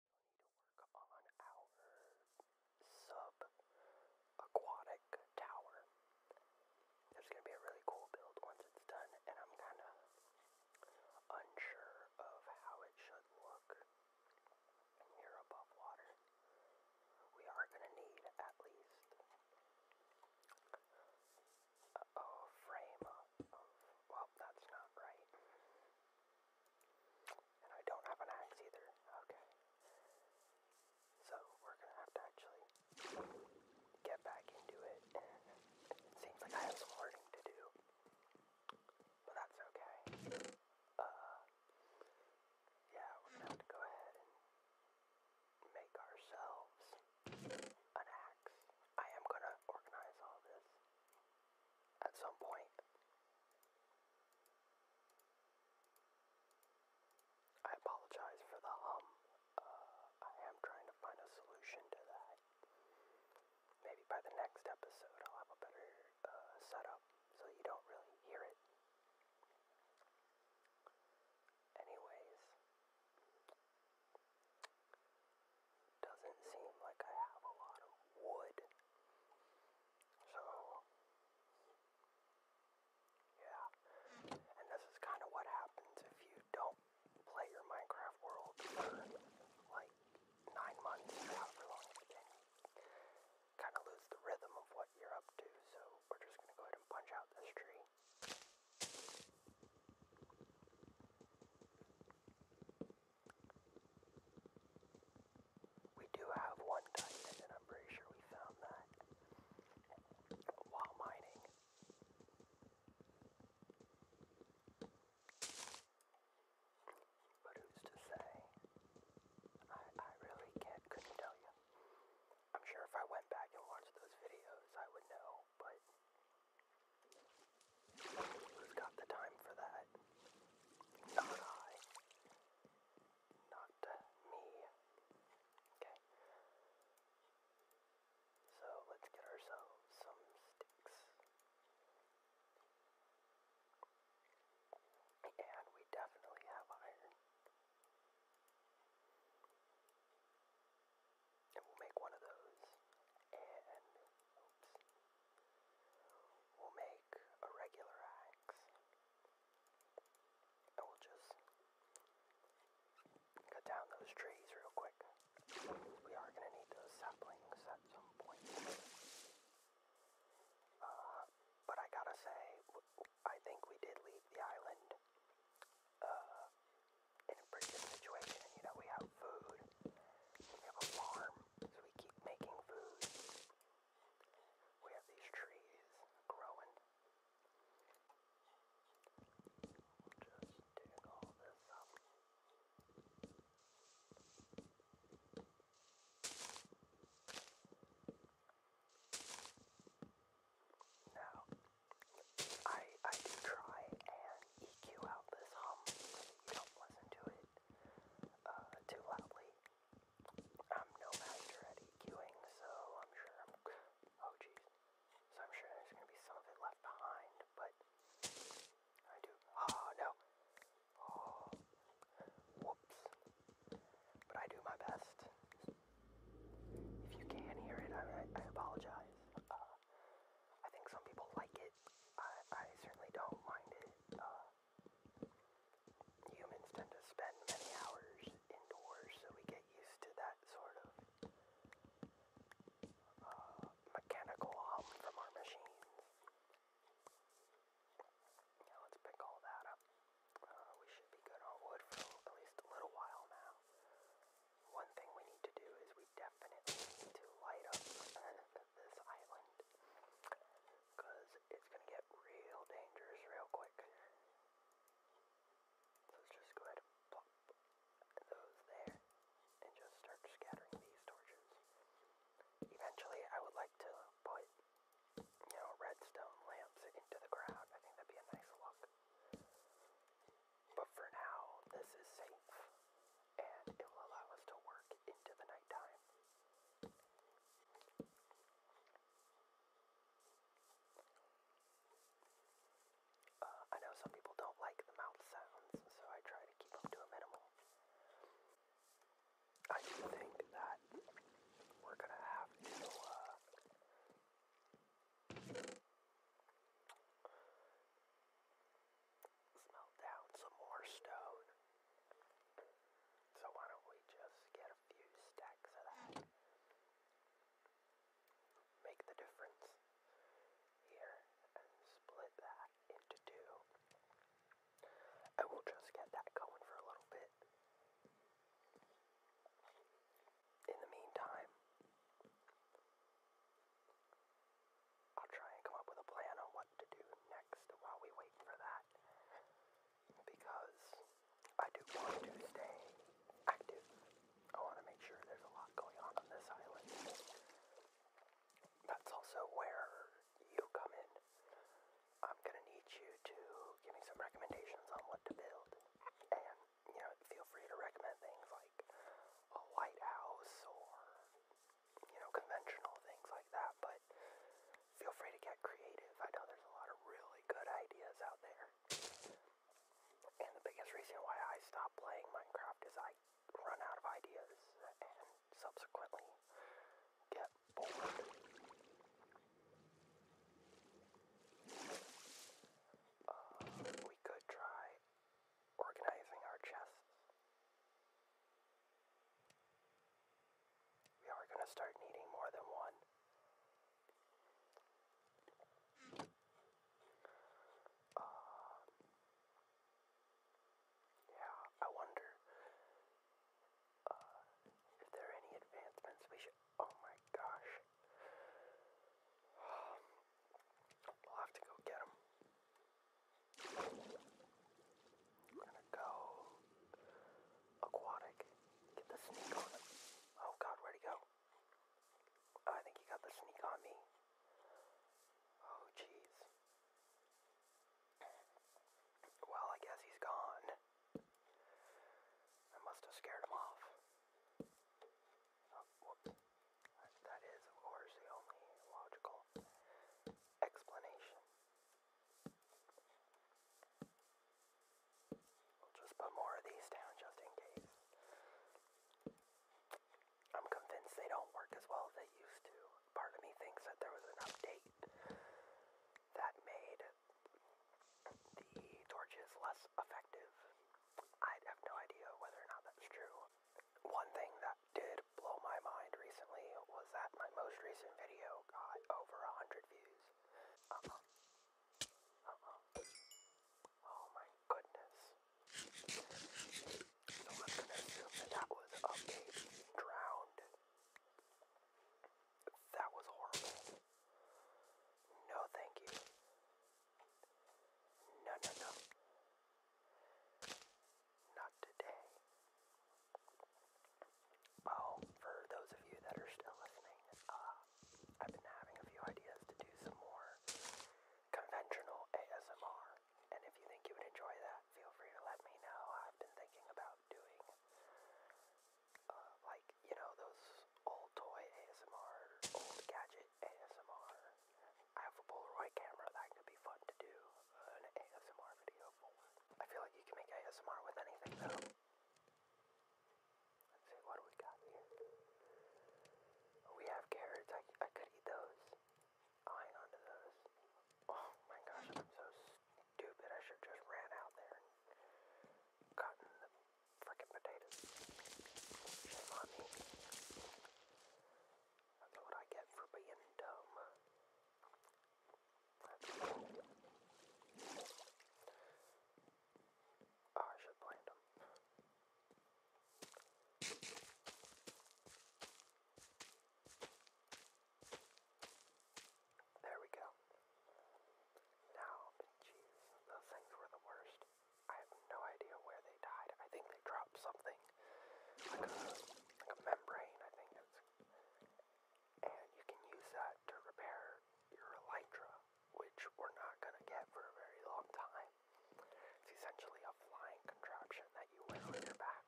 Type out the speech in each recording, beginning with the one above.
need to work on our sub tower. It's going to be a really cool build once it's done, and I'm kind of unsure of how it should look here above water. We are going to need at least a, frame well, that's not right. And I don't have an axe either. Okay. So we're gonna have to actually get back into it. And it seems like I have some learning to do. But that's okay. Uh yeah, we're gonna have to go ahead and make ourselves an axe. I am gonna organize all this at some point. I apologize for the hum. Uh, I am trying to find a solution to that. Maybe by the next episode I'll have a better uh, setup so you don't really hear it. Anyways, doesn't seem like I have a lot of wood. So, yeah. And this is kind of what happens if you don't play your Minecraft world for like nine months however long it's Kind of lose the rhythm of what you're up to, so we're just gonna go ahead and punch out this tree. We do have one diamond, and I'm pretty sure we found that while mining. But who's to say? I, I really can't, couldn't tell you. I'm sure if I went back and watched those videos, I would know, but Who's got the time for that? Not I. Not me. Okay. So let's get ourselves some sticks. And we definitely have iron. And we'll make one of those. And We'll make a regular axe. And we'll just cut down those trees real quick. We are going to need those saplings at some point. Uh, but I gotta say, I think we did leave the island uh, in a pretty good situation. You know, we have food. We have a farm, so we keep making food. We have these trees growing. Just dig all this up. Now, I I do try and EQ out this hum so that you don't listen to it uh, too loudly. I'm no master at EQing, so I'm sure Oh, jeez. So I'm sure there's gonna be some of it left behind, but I do. Oh, no. Oh. Whoops. But I do my best. If you can hear it, I, apologize. Uh, I think some people like it but I, I certainly don't mind it. Uh, humans tend to spend many hours indoors, so we get used to that sort of uh, mechanical hum from our machines. Yeah, let's pick all that up. Uh, we should be good on wood for at least a little while now. One thing we need to do is we definitely definitely to light up this island. it's going to get real dangerous real quick. So let's just go ahead and plop those there. And just start scattering these torches. Eventually I would like to put, you know, redstone lamps into the ground. I think that'd be a nice look. But for now, this is safe and it will allow us to work into the nighttime. Uh, I know some people don't like the mouth sounds, so I try to keep them to a minimal. I do think that we're gonna have to, uh, let down some more stone. So why don't we just get a few stacks of that? Make the difference here and split that into two. I will just get that going for a little bit. In the meantime, I'll try and come up with a plan on what to do next while we wait for that. Because I do want to stay active. I want to make sure there's a lot going on on this island. That's also where you come in. I'm gonna need you to give me some recommendations on what to build. And, you know, feel free to recommend things like a lighthouse or you know, conventional things like that, but feel free to get creative. I know there's a lot of really good ideas out there. And the biggest reason why I stopped playing Minecraft is I run out of ideas and subsequently get bored. Uh, we could try organizing our chests. We are going to start needing more than one. Um, yeah, I wonder uh, if there are any advancements we should. Oh my gosh. We'll have to go get them. We're gonna go aquatic. Get the sneak on him. Oh god, where go? I think he got the sneak on me. Oh jeez. Well, I guess he's gone. I must have scared him off. Oh, that is, of course, the only logical explanation. We'll just put more of these down just in case. I'm convinced they don't work as well as they used to. Part of me thinks that there was an update that made the torches less effective. I have no idea whether or not that's true one thing that did blow my mind recently was that my most recent video got over 100 views. Uh-huh. Uh-huh. Oh my goodness. So I'm gonna assume that was a baby drowned. That was horrible. No thank you. No, no, no. Not today. Oh, for those of you that are still listening, uh, I've been having a few ideas to do some more conventional ASMR. And if you think you would enjoy that, feel free to let me know. I've been thinking about doing, uh, like, you know, those old toy ASMR, old gadget ASMR. I have a Polaroid camera that could be fun to do an ASMR video for. I feel like you can make ASMR with anything though. Let's see, what do we got here? Oh, we have carrots. I, I could eat those. I'll oh, those. Oh my gosh, I'm so stupid. I should just ran out there and gotten the frickin' potatoes. Shame that's what I get for being dumb. Oh, I should plant them. There we go. Now, bitches, those things were the worst. I have no idea where they died. I think they dropped something, like a, like a membrane, I think it's. And you can use that to repair your elytra, which we're not gonna get for a very long time. It's essentially a flying contraption that you wear on your back.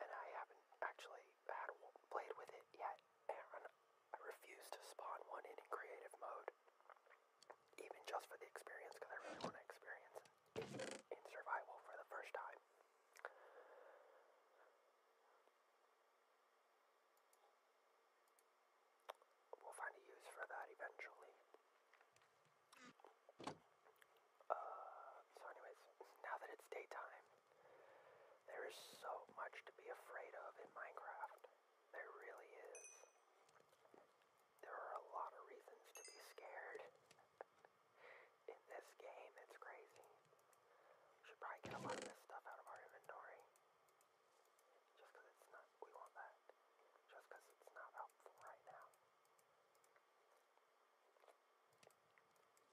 And I haven't actually had played with it yet, and I refuse to spawn one in creative mode even just for the experience, because I really want to experience in survival for the first time. We'll find a use for that eventually. Uh, so, anyways, now that it's daytime, there is so much to be afraid of in Minecraft. There really is. There are a lot of reasons to be scared. In this game, it's crazy. should probably get a lot of this stuff out of our inventory. Just it's not, we want that. Just it's not helpful right now.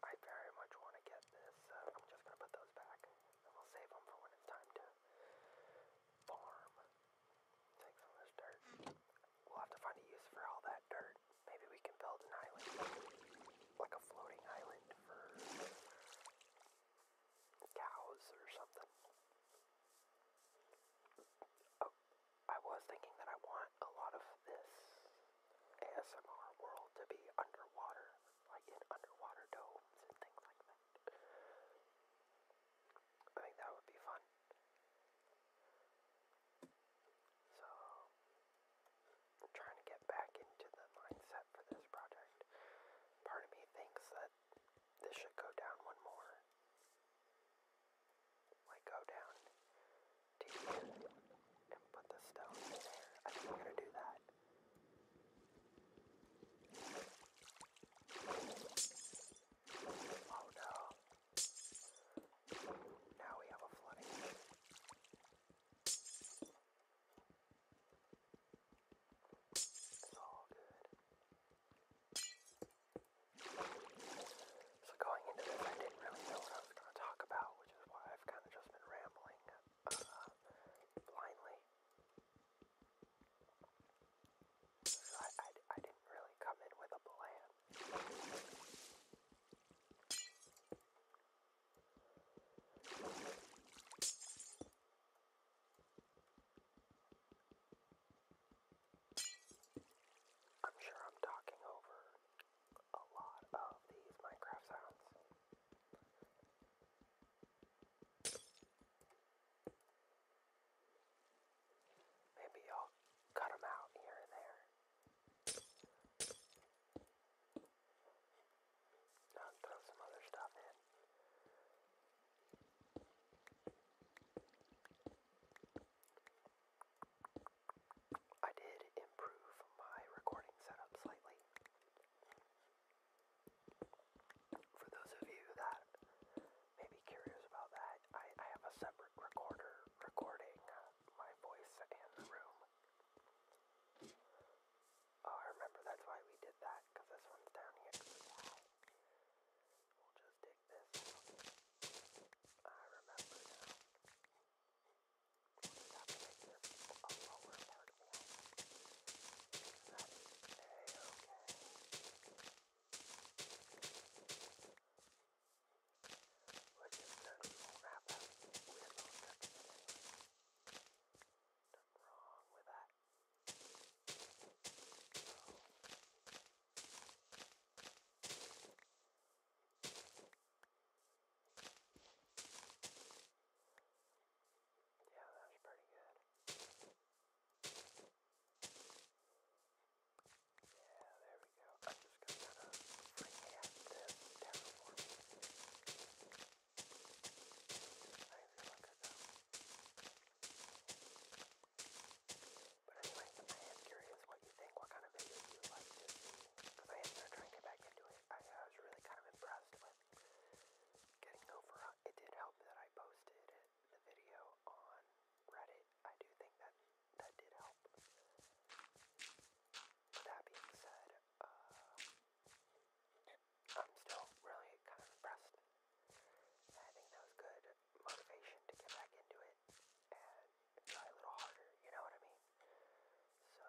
I very much want to get this, I'm just going to put those back. we'll save them for when it's time to farm. Take some of dirt. We'll have to find a use for all that dirt. Maybe we can build an island. Like a floating island cows or something. Oh, I was thinking that I want a lot of this ASMR world to be underwater. Like in underwater domes and things like that. I think that would be fun. So, I'm trying to get back into the mindset for this project. Part of me thinks that this should go down one more. Like, go down to and put the stone in there. I think I'm gonna do that. Oh no. Now we have a flooding. It's all good. So going into this, I didn't really know what I was going to talk about, which is why I've kind of just been rambling uh, blindly. So I, I, I didn't really come in with a plan. I'm sure I'm talking over a lot of these Minecraft sounds. Maybe I'll cut them out here and there. i throw some other stuff in. I did improve my recording setup slightly. For those of you that may be curious about that, I, have a separate recorder recording uh, my voice and the room. Oh, I remember that's why we did that, because this one's down here. We'll just take this. I remember now. We have to make this a a-okay. We're just going to wrap up with all such things. Nothing wrong with that. So. Yeah, that was pretty good. Yeah, there we go. I'm just going to kind of react this terraforming. Nice looker though. But anyway, I am curious what you think, what kind of videos you would like to see. Because I am going to try and get back into it. I, I was really kind of impressed with getting over uh, it did help that I posted it, the video on Reddit. I do think that that did help. With that being said, uh, I'm still really kind of impressed. I think that was good motivation to get back into it and try a little harder, you know what I mean? So,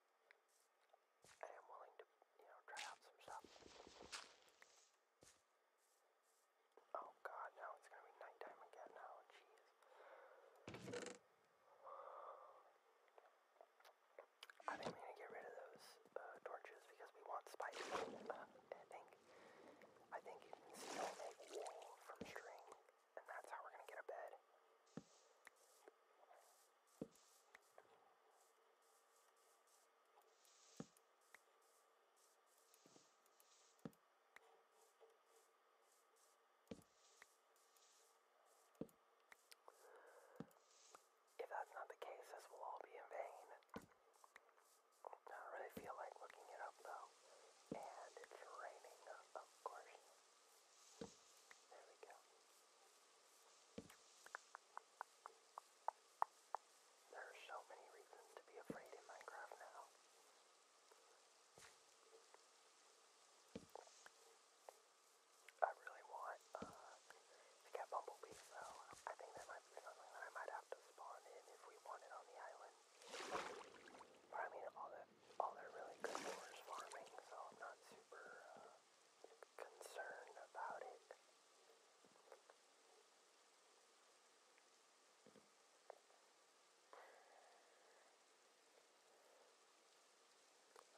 I am willing to, you know, try out some stuff. Oh god, now it's gonna be nighttime again now, oh, jeez. I think we need to get rid of those uh, torches because we want spikes. Uh, I think, I think you can still make wool from string, and that's how we're gonna get a bed. If that's not the case, this will all be in vain. I don't really feel like looking it up though. And it's raining, of course. There we go. There are so many reasons to be afraid in Minecraft now. I really want uh, to get bumblebees though. I think that might be something that I might have to spawn in if we want it on the island. But I mean, all that all they really good for farming, so I'm not super uh, concern about it.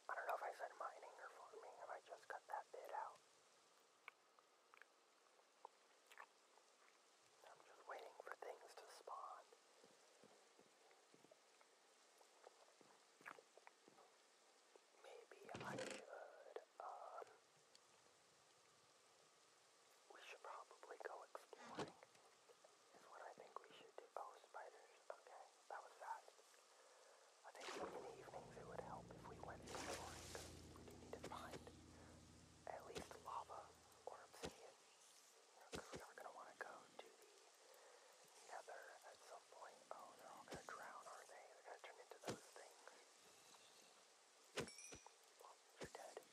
I don't know if I said mining or farming, if I just cut that bit out. I'm just waiting for things to spawn. Maybe I should, um, we should probably go exploring, is what I think we should do. Oh, spiders, okay, that was fast. I think in the evenings it would help if we went exploring, we do need to find at least lava or obsidian, because we are going to want to go to the together at some point. Oh, they're all gonna drown, are they? They're gonna turn into those things. Well, you're dead. And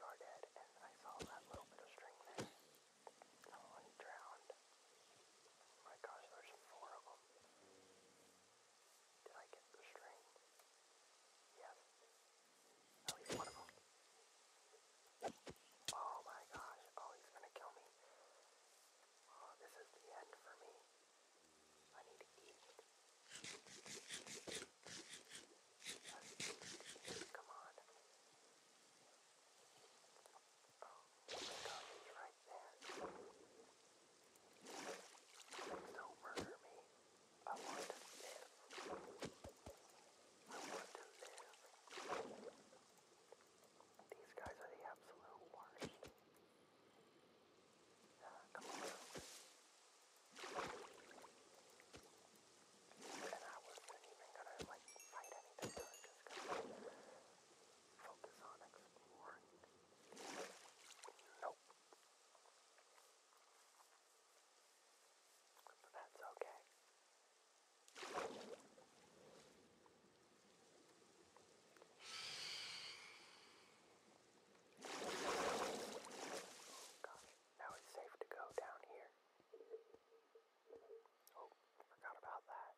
you're dead, and I saw that little bit of string there. Someone drowned. Oh my gosh, there's four of them. Did I get the string? Yes. At oh, least one of them. Oh my gosh. Oh, he's gonna kill me. Oh, this is the end for me. I need to eat. Let's eat. Come on. Oh, oh my gosh, he's right there. Please don't murder me. I want to live to live. These guys are the absolute worst. Uh, come on. And I wasn't even gonna like fight anything, I was just gonna focus on exploring. Nope. But that's okay. Got it. Now it's safe to go down here. Oh, forgot about that.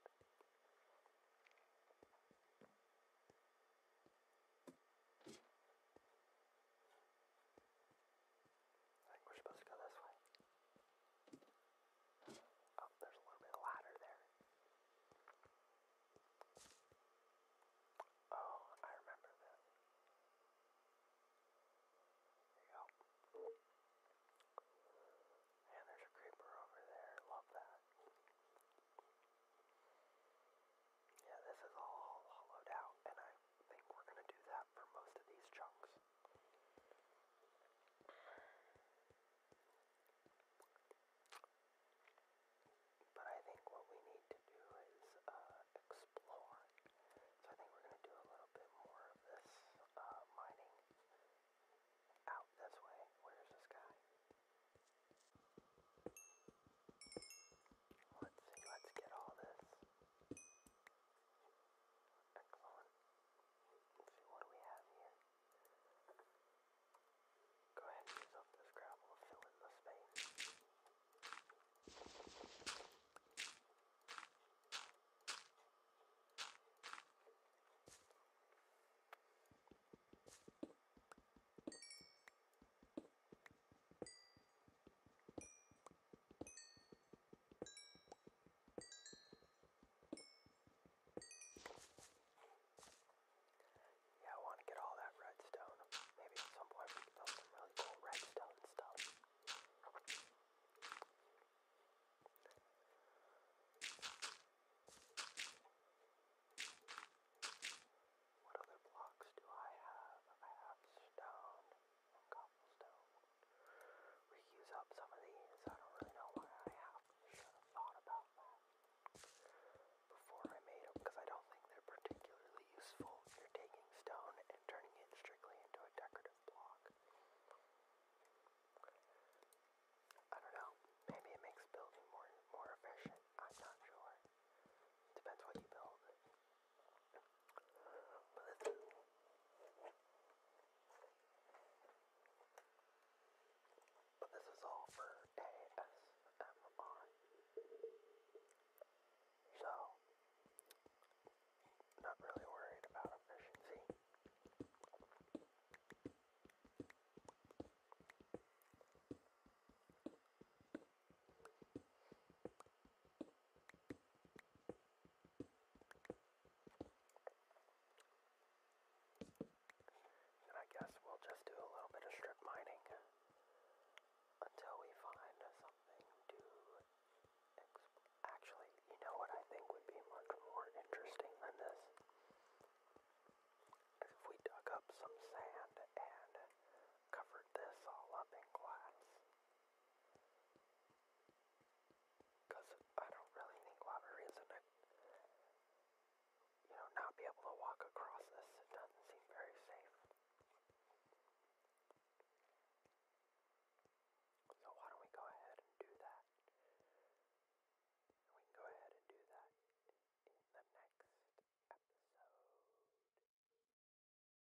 I think we're supposed to go this way. Oh, there's a little bit of ladder there. Oh, I remember this. There you go. And there's a creeper over there. Love that. Yeah, this is all hollowed out, and I think we're going to do that for most of these chunks. But I think what we need to do is uh, explore. So I think we're going to do a little bit more of this uh, mining out this way. Where's this guy? Let's see, let's get all this. Excellent. Let's see, what do we have here? Go ahead and use up this gravel to fill in the space. Yeah, I want to get all that redstone. Maybe at some point we can build some really cool redstone stuff. What other blocks do I have? I have stone on up some of these. I don't really know why I have should have thought about that before I made them, because I don't think they're particularly useful you're taking stone and turning it strictly into a decorative block. I don't know. Maybe it makes building more more efficient. I'm not sure. Depends what you build. But this is all for ASMR. So, not really worried about efficiency. And I guess we'll just do a little bit of strip mining until we find something to actually, you know what I think would be much more interesting than this? if we dug up some sand and covered this all up in glass. Because I don't really think we'll have you know, not be able to walk across this. It doesn't seem very safe. So why don't we go ahead and do that? we can go ahead and do that in the next episode.